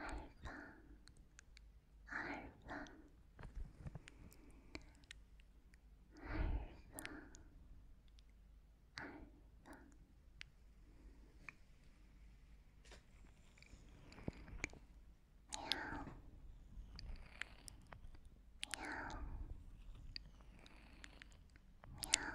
Alpha, Alpha, Alpha, Alpha. Meow. Meow. Meow. Meow. Meow.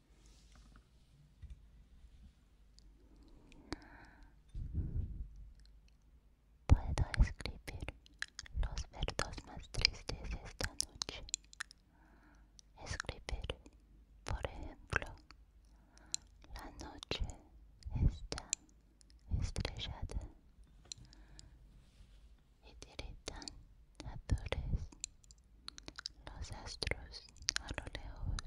Puedo escribir los verbos más tristes esta noche. Escribir, por ejemplo, la noche está estrellada y tiritan las los astros a lo lejos,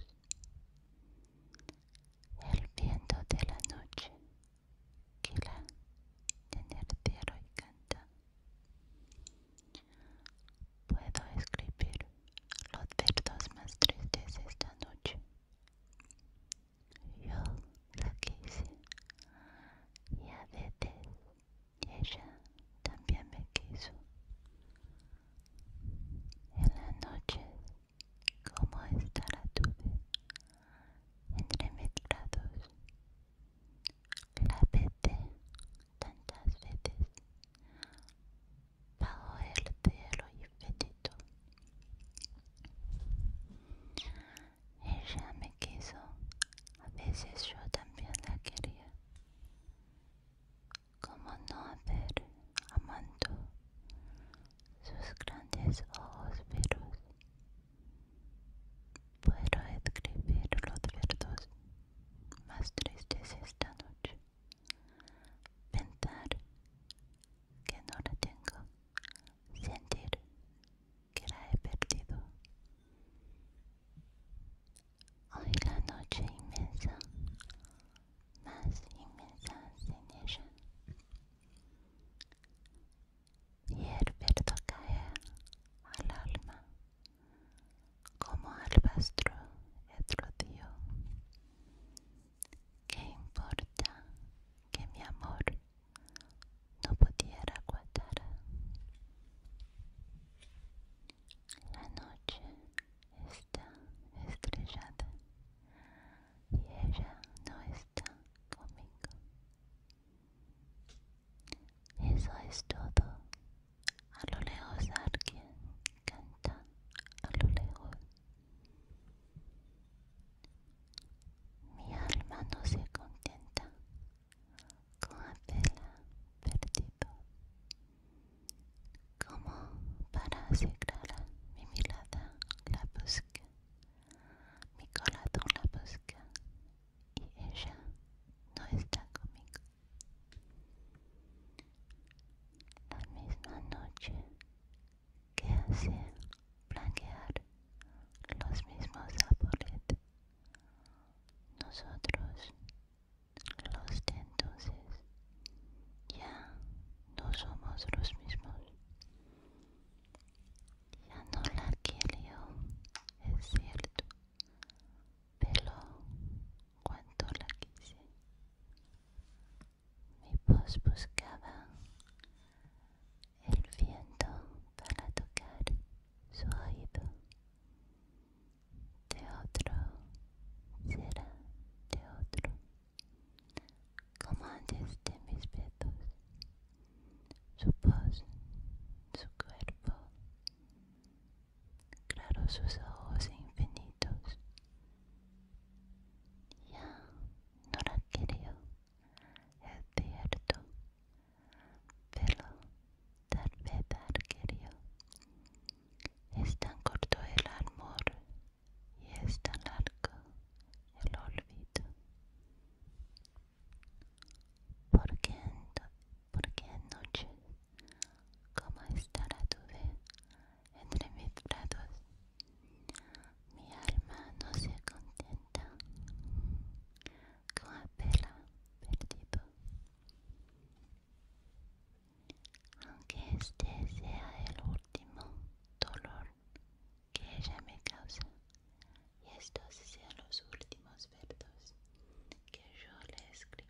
el viento de la noche que la tierra y canta. Puedo escribir los versos más tristes esta noche. Yo la quise y a veces y ella también me quiso. En las noches como esta la tuve, entre lados. la peté tantas veces, bajo el cielo infinito. Ella me quiso, a veces yo también la quería. ¿Cómo no haber amando sus grandes ojos veros? Puedo escribir los verdos más tristes esta noche. Pensar que no la tengo. Sentir que la he perdido. Hoy la noche inmensa, más inmensa sin ella. verde cae al alma, como al otro etrodio. ¿Qué importa que mi amor no pudiera guardar? La noche está estrellada y ella no está conmigo. Eso es todo. A lo lejos alguien canta a lo lejos. Mi alma no se contenta tela perdido como para asegurar mi mirada la busca mi corazón la busca y ella no está conmigo la misma noche que hace blanquear los mismos sabores nosotros los de entonces ya no somos los mismos. Ya no la quiero, es cierto, pero cuanto la quise. Mi voz buscaba el viento para tocar su oído. Teodoro, será Teodoro. Como antes de mis besos, su voz, su cuerpo, claro sus ojos infinitos. Ya no la creo, es cierto, Velo, tal vez arquerio. Es tan corto el amor y es tan largo el olvido. Porque en, porque en noche, como estará tu vez entre mis brazos, mi alma no se contenta con haberla perdido. aunque este sea el último dolor que ella me causa y estos sean los últimos versos que yo le escribo.